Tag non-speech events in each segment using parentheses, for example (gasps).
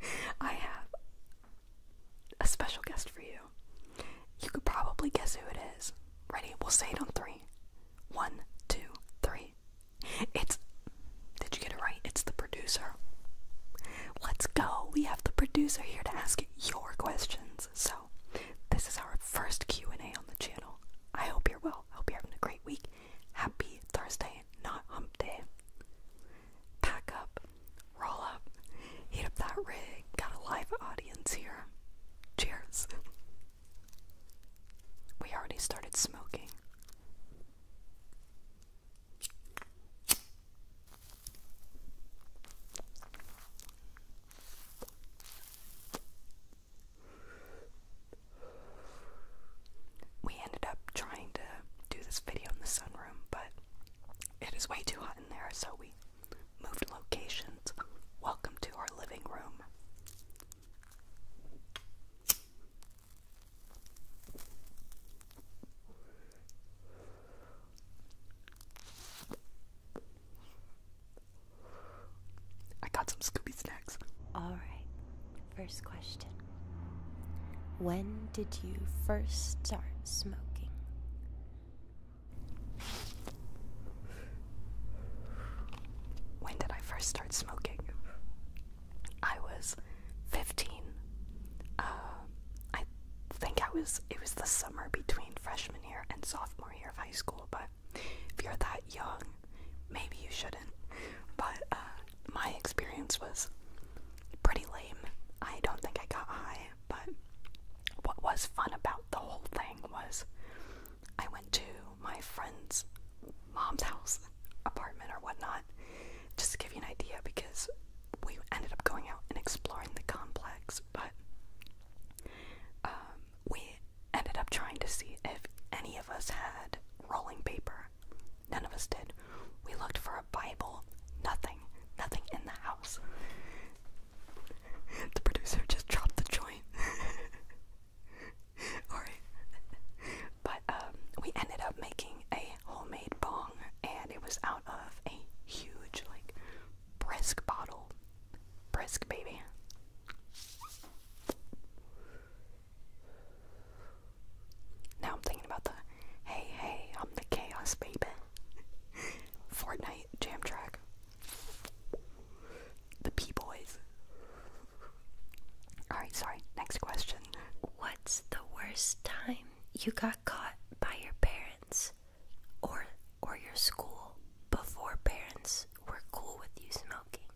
(laughs) I have a special guest for you. You could probably guess who it is. Ready? We'll say it on three. One, two, three. It's. Did you get it right? It's the producer. Let's go. We have the producer here to ask your questions. So, this is our first Q&A on the channel. I hope you're well. I hope you're having a great week. Happy Thursday, not hump day pack up, roll up, heat up that rig. Got a live audience here. Cheers. We already started smoking. We ended up trying to do this video in the sunrise but it is way too hot in there, so we moved locations. Welcome to our living room. I got some Scooby snacks. All right, first question When did you first start smoking? When did I first start smoking? I was 15. Uh, I think I was, it was the summer between freshman year and sophomore year of high school, but if you're that young, maybe you shouldn't. But uh, my experience was pretty lame. I don't think I got high, but what was fun about the whole thing was I went to my friend's mom's house, apartment, or whatnot, just to give you an idea because we ended up going out and exploring the complex, but um, we ended up trying to see if any of us had rolling paper None of us did. We looked for a Bible. Nothing. Nothing in the house. (laughs) the producer just dropped the joint. (laughs) But um, we ended up making a homemade bong, and it was out of a huge, like, brisk bottle. Brisk, baby. Now I'm thinking about the hey, hey, I'm the chaos baby. (laughs) Fortnite jam track. The P Boys. Alright, sorry. Next question. What's the worst time you got caught by your parents or or your school before parents were cool with you smoking?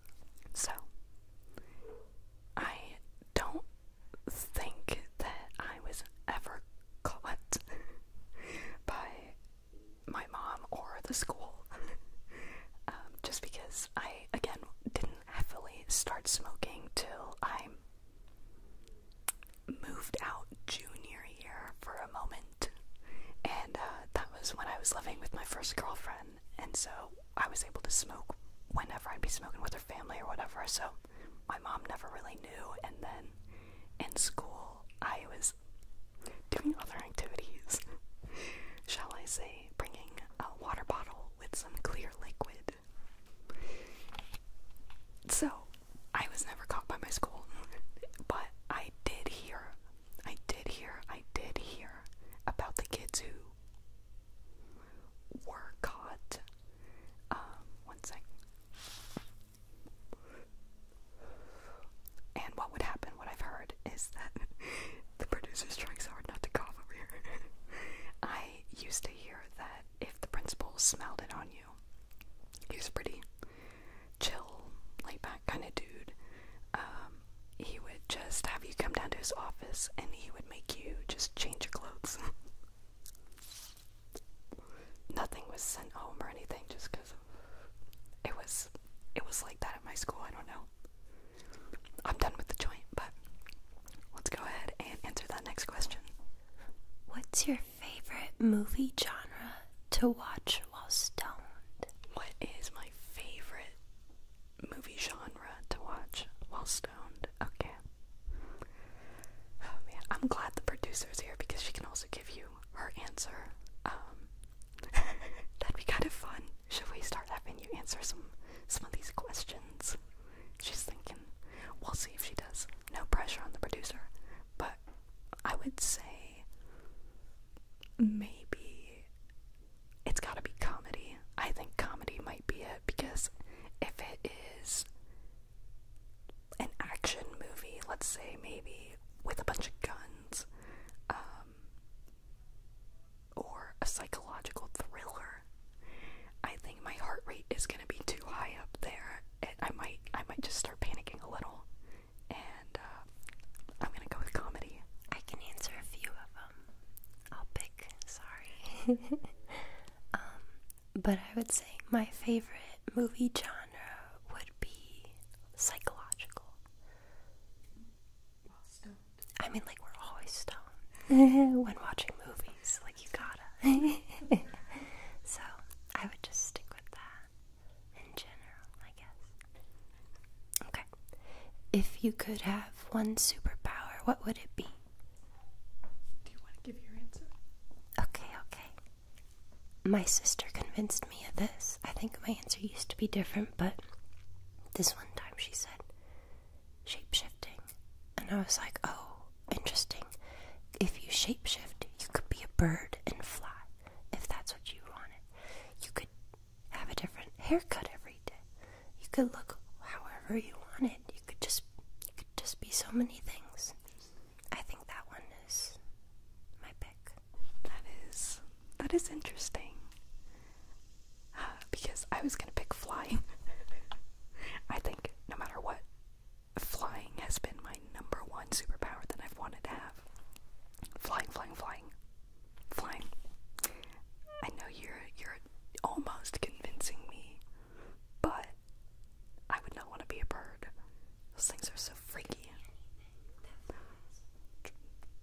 So I don't think that I was ever caught (laughs) by my mom or the school. (laughs) Um, just because I, again, didn't heavily start smoking till I moved out junior year for a moment. And uh, that was when I was living with my first girlfriend. And so I was able to smoke whenever I'd be smoking with her family or whatever. So my mom never really knew, and then in school, I was doing other activities, (laughs) shall I say, bringing a water bottle with some clear liquid. So, I was never caught by my school, (laughs) but I did hear, I did hear, I did hear about the kids who were caught. Um, one second. And what would happen, what I've heard, is that (laughs) the producers trying hard not to cough over here. (laughs) I used to hear that if the principal smelled it on you, he was pretty chill, laid back kind of dude. Um, he would just have you come down to his office and he would make you just change your clothes. (laughs) Nothing was sent home or anything just because it was it was like that at my school, I don't know. I'm done with the joint, but let's go ahead and answer that next question. What's your favorite movie genre to watch while stoned? What is my favorite movie genre to watch while stoned? Okay. Oh man, I'm glad the producer's here because she can also give you her answer. Um, (laughs) that'd be kind of fun. Should we start having you answer some some of these questions? She's thinking. We'll see if she does. No pressure on the producer, but I would say maybe it's got to be comedy. I think comedy might be it because if it is an action movie, let's say maybe with a bunch of guns, um, or a psychological thriller, I think my heart rate is gonna be too high up there, and I might I might just start panicking a little. And uh, I'm gonna go with comedy. I can answer a few of them. I'll pick, sorry. (laughs) Um, but I would say my favorite movie genre would be psychological. I mean, like, we're always stoned (laughs) when watching movies. Like, you gotta. (laughs) so, I would just stick with that in general, I guess. Okay. If you could have one superpower, what would it be? Do you want to give your answer? Okay, okay. My sister convinced me of this. I think my answer used to be different, but this one time she said shapeshifting. And I was like, oh, interesting. If you shapeshift, you could be a bird and fly if that's what you wanted. You could have a different haircut every day. You could look however you wanted. You could just you could just be so many things. I think that one is my pick. That is that is interesting. Uh, because I was gonna pick flying. (laughs) I think no matter what, flying has been my number one superpower that I've wanted to have. Flying, flying, flying, flying. I know you're you're almost convincing me but I would not want to be a bird. Those things are so freaky.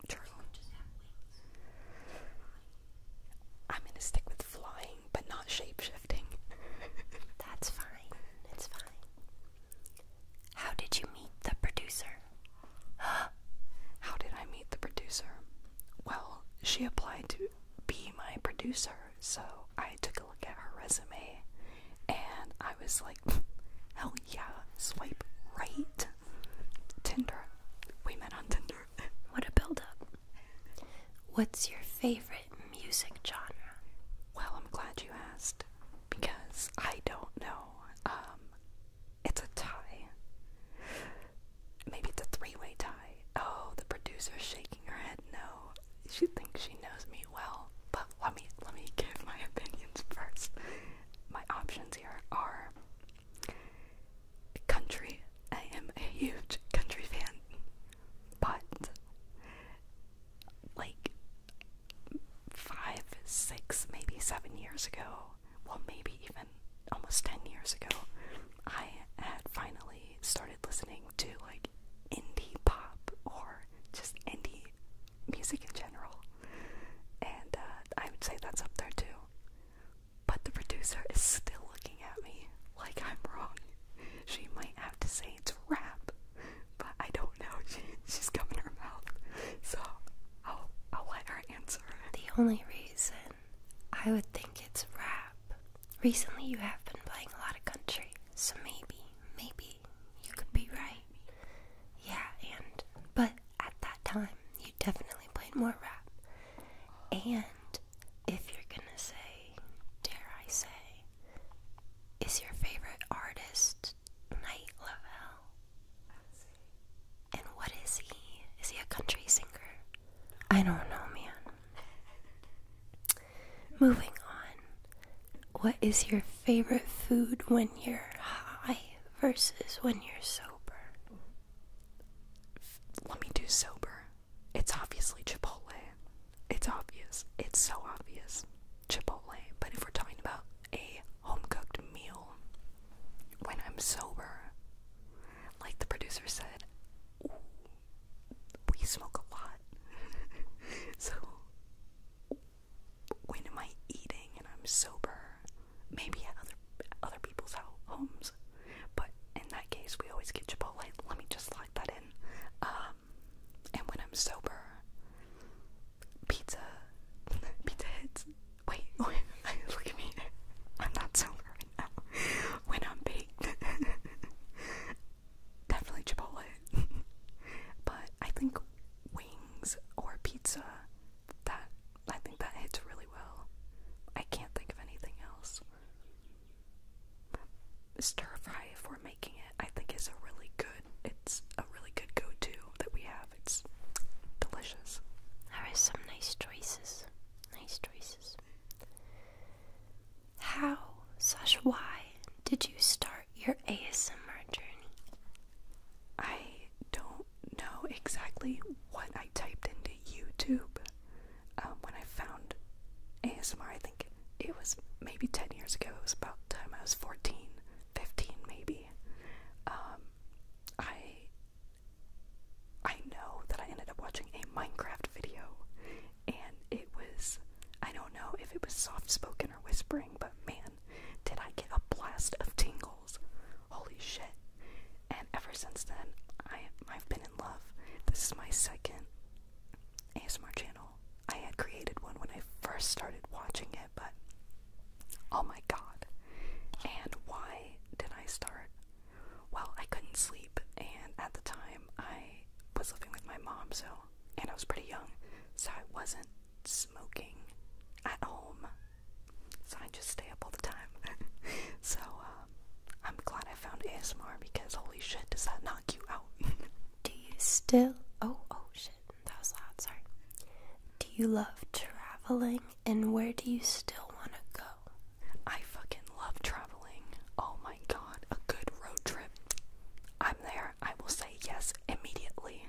True. I'm gonna stick with flying, but not shape shifting. (laughs) That's fine. It's fine. How did you meet the producer? (gasps) How did I meet the producer? Well, she applied to be my producer. So I took a look at her resume and I was like, hell yeah, swipe right. Tinder. We met on Tinder. (laughs) what a build up. What's your favorite music genre? Well, I'm glad you asked because I don't know. Um, it's a tie. Maybe it's a three way tie. Oh, the producer's shaking her head no. She thinks she knows me well. But let me let me give my opinions first. My options here are country. I am a huge country fan. But like five, six, maybe seven years ago, well maybe even almost ten years ago, I had finally started listening to like indie pop or just indie music in general. And uh, I would say that's up there too. But the producer is still looking at me like I'm wrong. She might have to say it's rap, but I don't know. (laughs) She, she's coming her mouth. So I'll, I'll let her answer. The only reason I would think it's rap. Recently, you have been playing a lot of country, so maybe, maybe you could be right. Yeah, and, but at that time, you definitely played more rap. And if you're gonna say, dare I say, is your favorite artist Night Level? And what is he? Is he a country singer? I don't know, man. Moving on. What is your favorite food when you're high versus when you're sober? Let me do sober. It's obviously Chipotle. It's obvious. It's so obvious. Chipotle. But if we're talking about a home cooked meal when I'm sober, like the producer said, we smoke a lot. (laughs) so when am I eating and I'm sober? Maybe at other other people's homes, but in that case, we always get Chipotle. Let me just lock that in. Um, and when I'm sober, pizza, (laughs) pizza hits. Wait, (laughs) wait look at me. I'm not sober. (laughs) when I'm baked. (laughs) Definitely Chipotle. (laughs) but I think wings or pizza that I think that hits really well. I can't think of anything else. Stir fry if we're making it, I think is a really good it's a really good go to that we have. It's delicious. I have some nice choices. Nice choices. How slash why did you start your ASMR journey? I don't know exactly what I typed into YouTube um, when I found ASMR. I think it was maybe 10 years ago. It was about the time I was 14, 15 maybe. Um, I I know that I ended up watching a Minecraft video, and it was I don't know if it was soft spoken or whispering, but man, did I get a blast of tingles. Holy shit. And ever since then, I, I've been in love. This is my second ASMR channel. I had created one when I first started watching it, but oh my god. And why did I start well, I couldn't sleep, and at the time I was living with my mom, so, and I was pretty young, so I wasn't smoking at home. So I just stay up all the time. (laughs) so, uh, I'm glad I found ASMR because holy shit, does that knock you out? (laughs) Do you still. Oh, oh shit, that was loud, sorry. Do you love traveling and where do you still want to go? I fucking love traveling. Oh my god, a good road trip. I'm there. I will say yes immediately.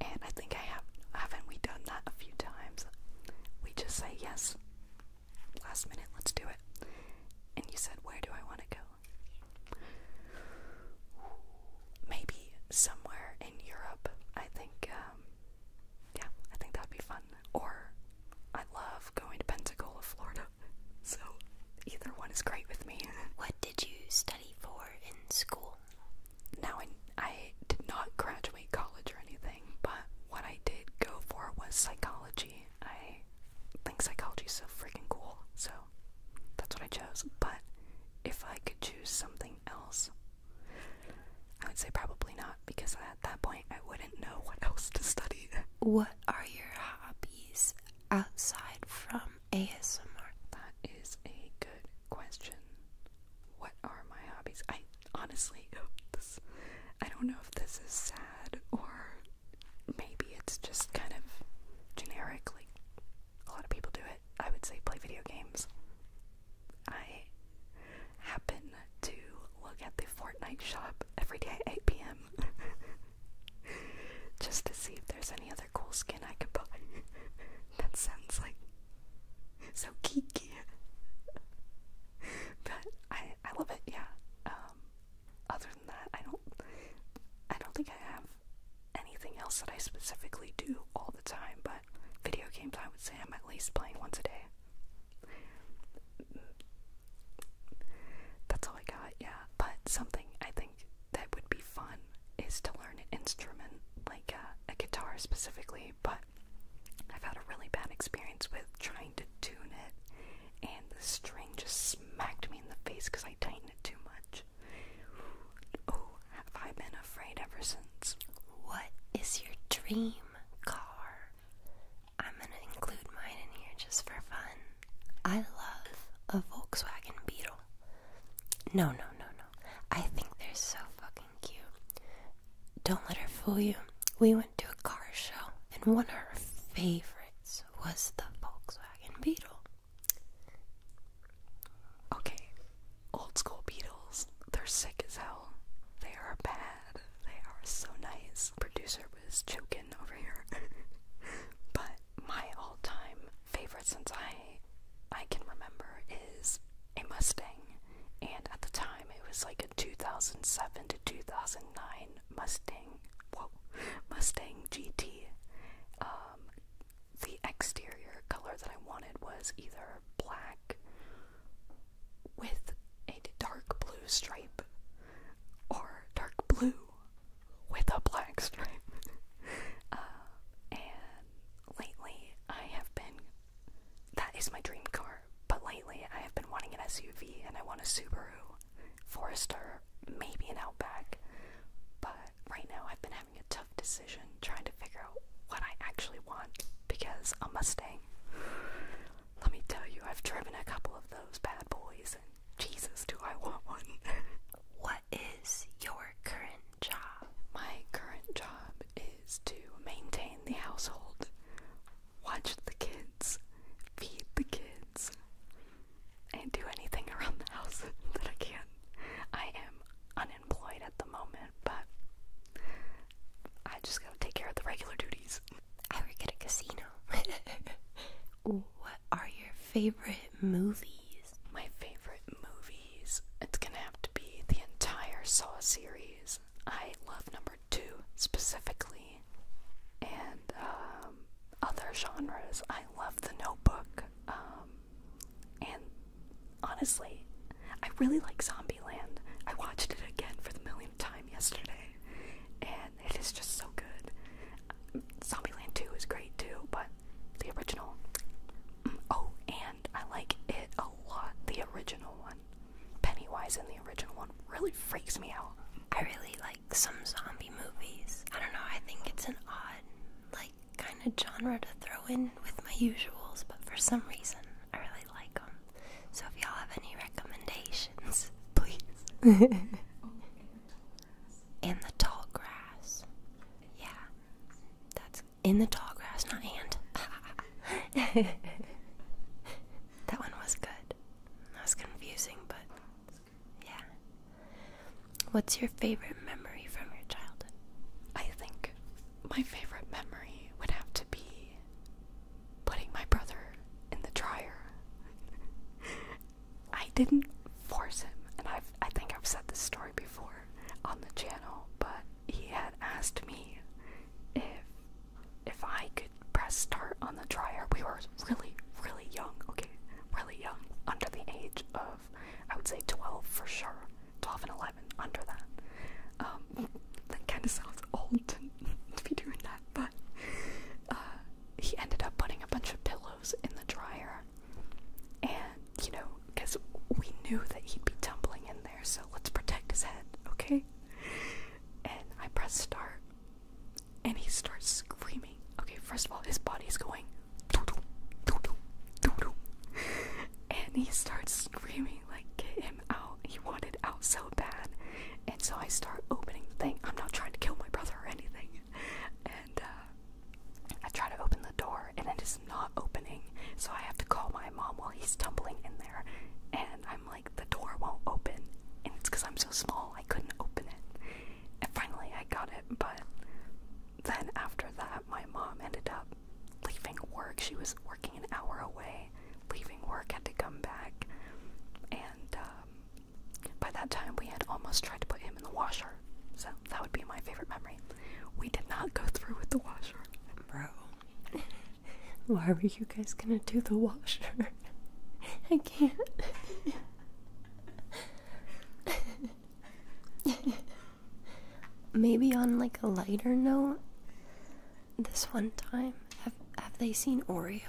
And I think I have haven't we done that a few times? We just say yes. Last minute, let's do it. And you said, Where do I want to go? Maybe somewhere in Europe. I think, um, yeah, I think that'd be fun or I love going to Pensacola, Florida. So either one is great with me. What did you study for in school? Now I, I did not graduate college or anything, but what I did go for was psychology. I think psychology is so freaking cool, so that's what I chose. But if I could choose something else, I would say probably not because at that point I wouldn't know what else to study. What are your hobbies outside from ASMR? That is a good question. What are my hobbies? I honestly, oh, I don't know if this is sad or maybe it's just kind of generic. Like a lot of people do it. I would say play video games. I happen to look at the Fortnite shop every day at 8 p.m. (laughs) just to see if there's any other cool skin I could buy. (laughs) that sounds like so geeky. (laughs) but I I love it, yeah. Um, other than that, I don't I don't think I have anything else that I specifically do all the time, but video games I would say I'm at least playing once a day. That's all I got, yeah. But something I think that would be fun is to learn an instrument, like uh, a, guitar specifically, but I've had a really bad experience with trying to tune it, and the string just smacked me in the face because I tightened it too much. Oh, have I been afraid ever since? What is your dream car? I'm gonna include mine in here just for fun. I love a Volkswagen Beetle. No, no, no, no. I think they're so fucking cute. Don't let her fool you. We went to a car show, and one of her favorites was the Volkswagen Beetle. Okay, old school Beatles. they're sick as hell. They are bad. They are so nice. Producer choking over here. (laughs) but my all-time favorite since I I can remember is a Mustang. And at the time it was like a 2007 to 2009 Mustang. Whoa, Mustang GT. Um, the exterior color that I wanted was either black with a dark blue stripe or dark blue with a black stripe. (laughs) Uh, and lately I have been, that is my dream car, but lately I have been wanting an SUV and I want a Subaru, Forester, maybe an Outback. But right now I've been having a tough decision trying to figure out what I actually want because a Mustang let me tell you, I've driven a couple of those bad boys, and Jesus, do I want one. (laughs) what is your current job? My current job is to maintain the household, watch the kids, feed the kids, and do anything around the house (laughs) that I can. I am unemployed at the moment, but I just gotta take care of the regular duties. I work at a casino. (laughs) what are your favorite movies? My favorite movies. It's gonna have to be the entire Saw series. I love number two specifically, and um, other genres. I love The Notebook. Um, and honestly, I really like Zombieland. I watched it again for the millionth time yesterday, and it is just so good. Zombieland 2 is great too, but the original. Mm, oh, and I like it a lot. The original one. Pennywise in the original one really freaks me out. I really like some zombie movies. I don't know, I think it's an odd, like, kind of genre to throw in with my usuals, but for some reason, I really like them. So if y'all have any recommendations, (laughs) please. In the tall grass. Yeah. That's in the tall grass, not hand. (laughs) that one was good. That was confusing, but yeah. What's your favorite memory from your childhood? I think my favorite memory would have to be putting my brother in the dryer. (laughs) I didn't force him, and I've, I think I've said this story before on the channel, but he had asked me if if I could press start on the dryer. We were really, really young, okay, really young, under the age of, I would say 12 for sure, 12 and 11, under that. Um, that kind of sounds old to, (laughs) to be doing that, but uh, he ended up putting a bunch of pillows in the dryer. And, you know, because we knew that he'd be tumbling in there, so let's protect his head, okay? And I press start, and he starts screaming. Okay, first of all, his body's going. And he starts screaming, like, get him out. He wanted out!" so bad. And so I start opening the thing. I'm not trying to kill my brother or anything. And uh, I try to open the door, and it is not opening. So I have to call my mom while he's tumbling in there. And I'm like, the door won't open. And it's because I'm so small, I couldn't open it. And finally, I got it. But then after that, my mom ended up leaving work. She was working an hour away, leaving work, had to come back. And um, by that time, we had almost tried to put him in the washer, so that would be my favorite memory. We did not go through with the washer. Bro, (laughs) why were you guys gonna do the washer? (laughs) I can't. Maybe on like a lighter note, this one time, have have they seen Oreo?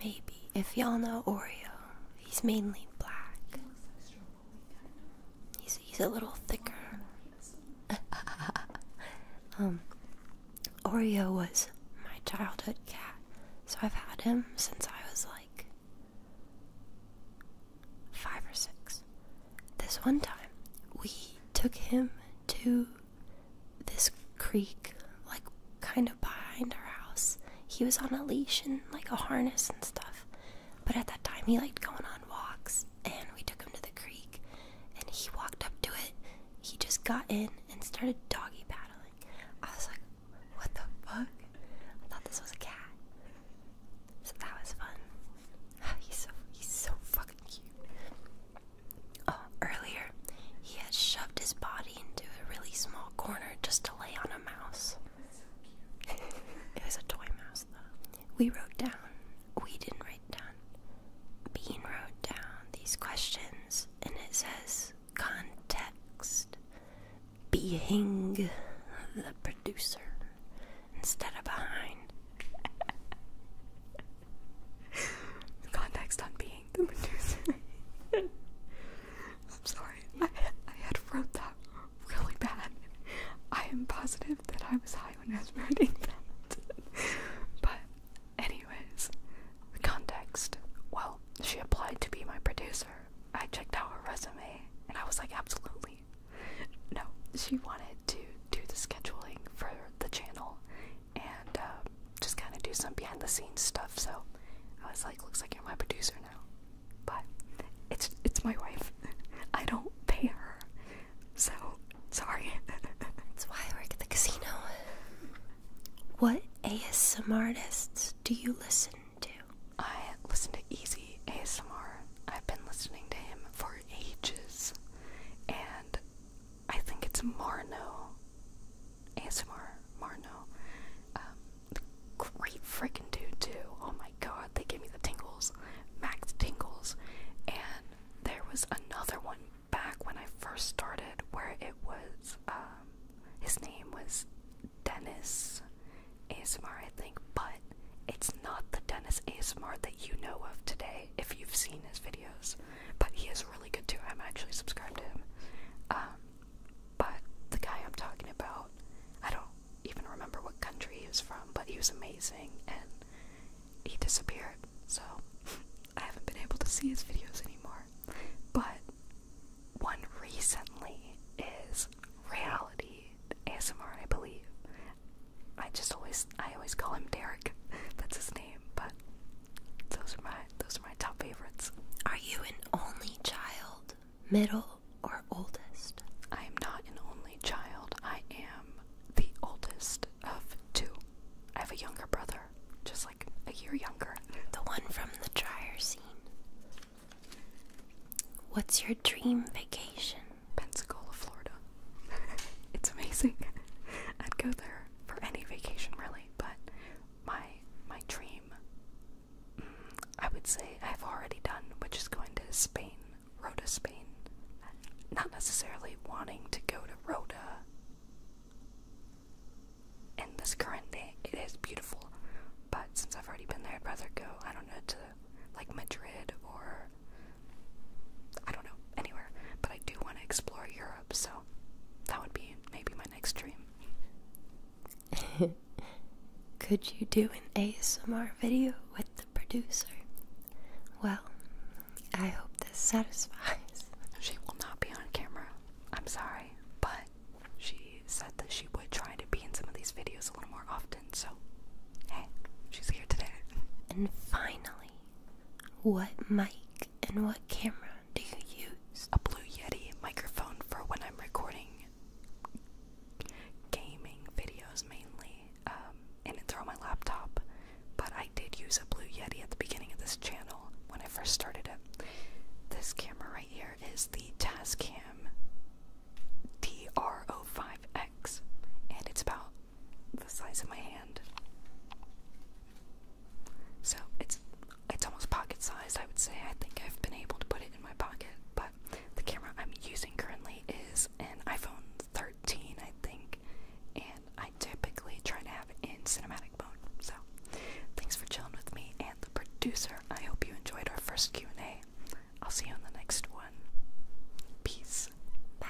Maybe. If y'all know Oreo, he's mainly black. He's he's a little thicker. (laughs) um Oreo was my childhood cat. So I've had him since I was like five or six. This one time we took him to this creek, like kind of behind our house. He was on a leash and like a harness and stuff. But at that time, he liked going on walks, and we took him to the creek. And he walked up to it. He just got in and started doggy paddling. I was like, "What the fuck?" I thought this was a cat. So that was fun. (sighs) he's so he's so fucking cute. Uh, earlier, he had shoved his body into a really small corner just to lay on a mouse. it was a toy mouse, though. We wrote down, we didn't write down, Bean wrote down these questions, and it says context, being the producer, instead of behind. (laughs) Context on being the producer. (laughs) I'm sorry, I, I had wrote that really bad. I am positive that I was high when I was writing that. but, anyways, the context. Well, she applied to be my producer. I checked out her resume and I was like, absolutely. No, she wanted to do the scheduling for the channel and uh, just kind of do some behind the scenes stuff. So I was like, looks like you're my producer now, but it's it's my wife. (laughs) I don't pay her, so sorry. (laughs) That's why I work at the casino. What ASMR artists do you listen to? I listen to Easy ASMR. I've been listening to him for ages, and I think it's Marno. ASMR Marno. Um, great freaking dude too. Oh my god, they gave me the tingles. Max tingles. And there was another one back when I first started where it was um, his name was Dennis ASMR I think, but it's not the Dennis ASMR that you know of today if you've seen his videos, but he is really good too. I'm actually subscribed to him. Um, but the guy I'm talking about, I don't even remember what country he was from, but he was amazing and he disappeared. So (laughs) I haven't been able to see his videos anymore. But one recently is reality ASMR, I believe. I just always I always call him Derek. (laughs) That's his name but those are my those are my top favorites. Are you an only child, middle or oldest? I am not an only child. I am the oldest of two. I have a younger brother, just like a year younger. The one from the dryer scene. What's your dream vacation? Pensacola, Florida. (laughs) it's amazing. I'd go there for any vacation, really. But my my dream, mm, I would say, I've already done, which is going to Spain, Rota, Spain. Not necessarily wanting to go to Rota in this current day. It is beautiful, but since I've already been there, I'd rather go. I don't know to like Madrid or I don't know, anywhere. But I do want to explore Europe, so that would be maybe my next dream. (laughs) Could you do an ASMR video with the producer? Well, I hope this satisfies. (laughs) She will not be on camera. I'm sorry, but she said that she would try to be in some of these videos a little more often, so hey, she's here today. And finally, what mic and what camera do you use? A Blue Yeti microphone for when I'm recording gaming videos mainly, um, and it's on my laptop. But I did use a Blue Yeti at the beginning of this channel when I first started it. This camera right here is the Tascam DR05X, and it's about the size of my hand. So it's it's almost pocket sized I would say. I think I've been able to put it in my pocket, but the camera I'm using currently is an iPhone 13, I think, and I typically try to have in cinematic mode. So thanks for chilling with me and the producer. I hope you enjoyed our first Q&A. I'll see you in the next one. Peace. Bye.